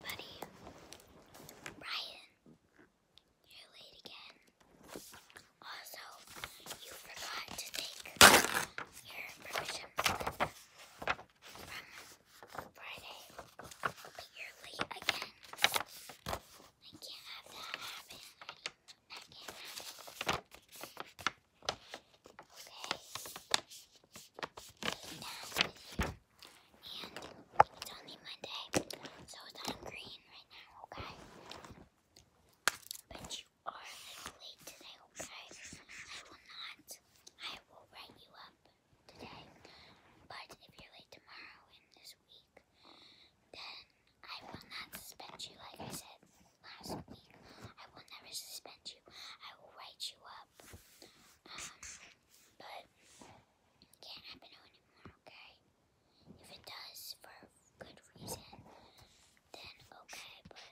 Buddy. Brian. You're late again. Also, you forgot to take your permission slip from Friday. But you're late again. I can't have that happen. That can't happen. Okay. And it's only Monday, so it's on green right now, okay? But you are late today, okay? I will not. I will write you up today. But if you're late tomorrow and this week, then I will not suspend you, like I said last week. I will never suspend you. I will write you up up. Um, but it can't happen to anymore, okay? If it does for a good reason, then okay, but it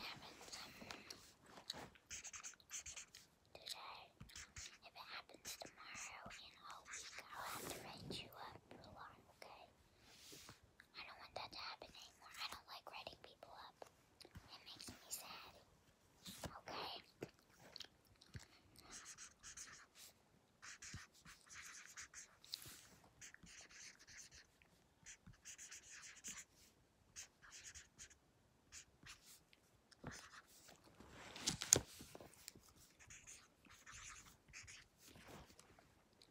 happens um, today. If it happens tomorrow and all week, I'll have to write you up for a lot, okay? I don't want that to happen anymore. I don't like writing people up. It makes me sad. Okay?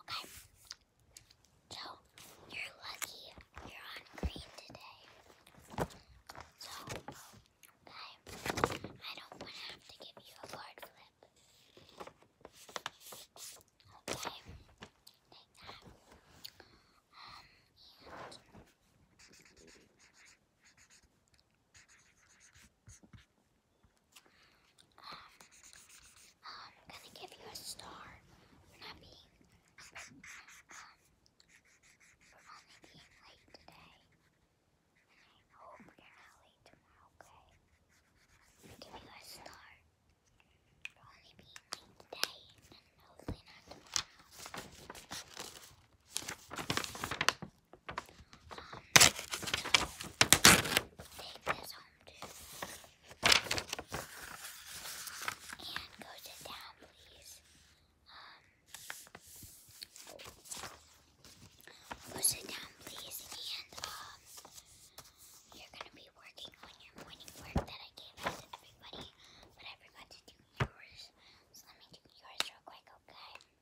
Okay. So, you're lucky you're on green today. So, okay. I don't want to have to give you a card flip. Okay. Take that. Um, I'm gonna give you a star for not um, only being oh, late today. And I not tomorrow, okay? give you a star for only being late today and hopefully not tomorrow take this home too. And go sit down, please. Um, go sit down, please. And um, you're gonna be working on your morning work that I gave out to everybody, but I to do yours. So let me do yours real quick, okay?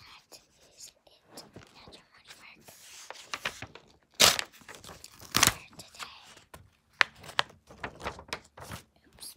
that is it. Natural morning work for today. Oops.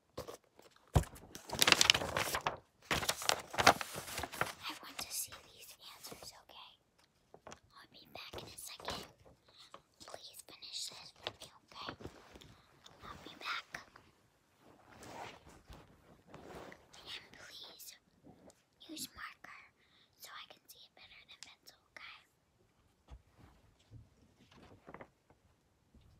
I want to see these answers, okay? I'll be back in a second. Please finish this for me, okay? I'll be back. And please use marker so I can see it better than pencil, okay?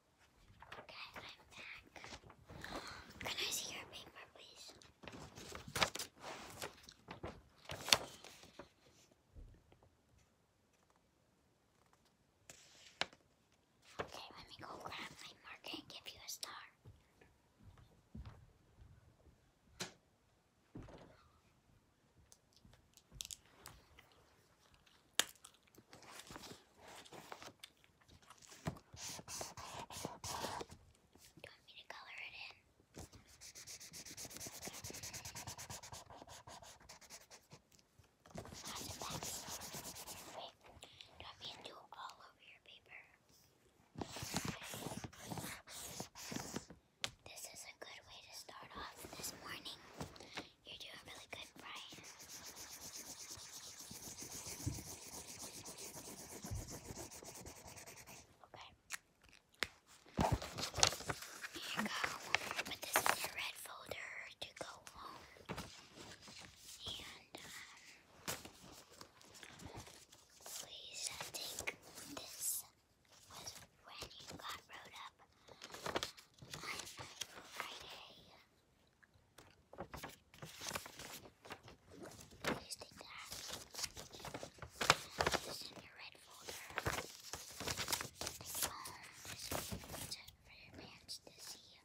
Okay, I'm back. Can I see your paper, please? Okay, let me go grab my marker and give you a star. Do you want me to color it in? That's a back. Wait, do you want me all over your paper? This is a good way to start off this morning. You're doing really good, Brian. Okay. Here you go. Put this in your red folder to go home. And, um, please uh, take this was when you got rode up Friday. Please take that. Put this in your red folder. Take it home. for your parents to see.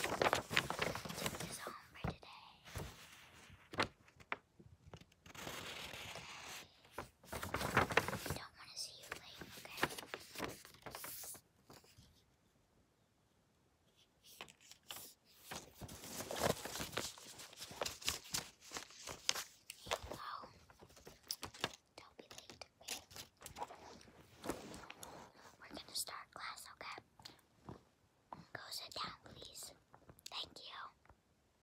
And take this home for today don't want to see you late, okay? Here Don't be late, okay? We're gonna start class, okay? Go sit down, please. Thank you.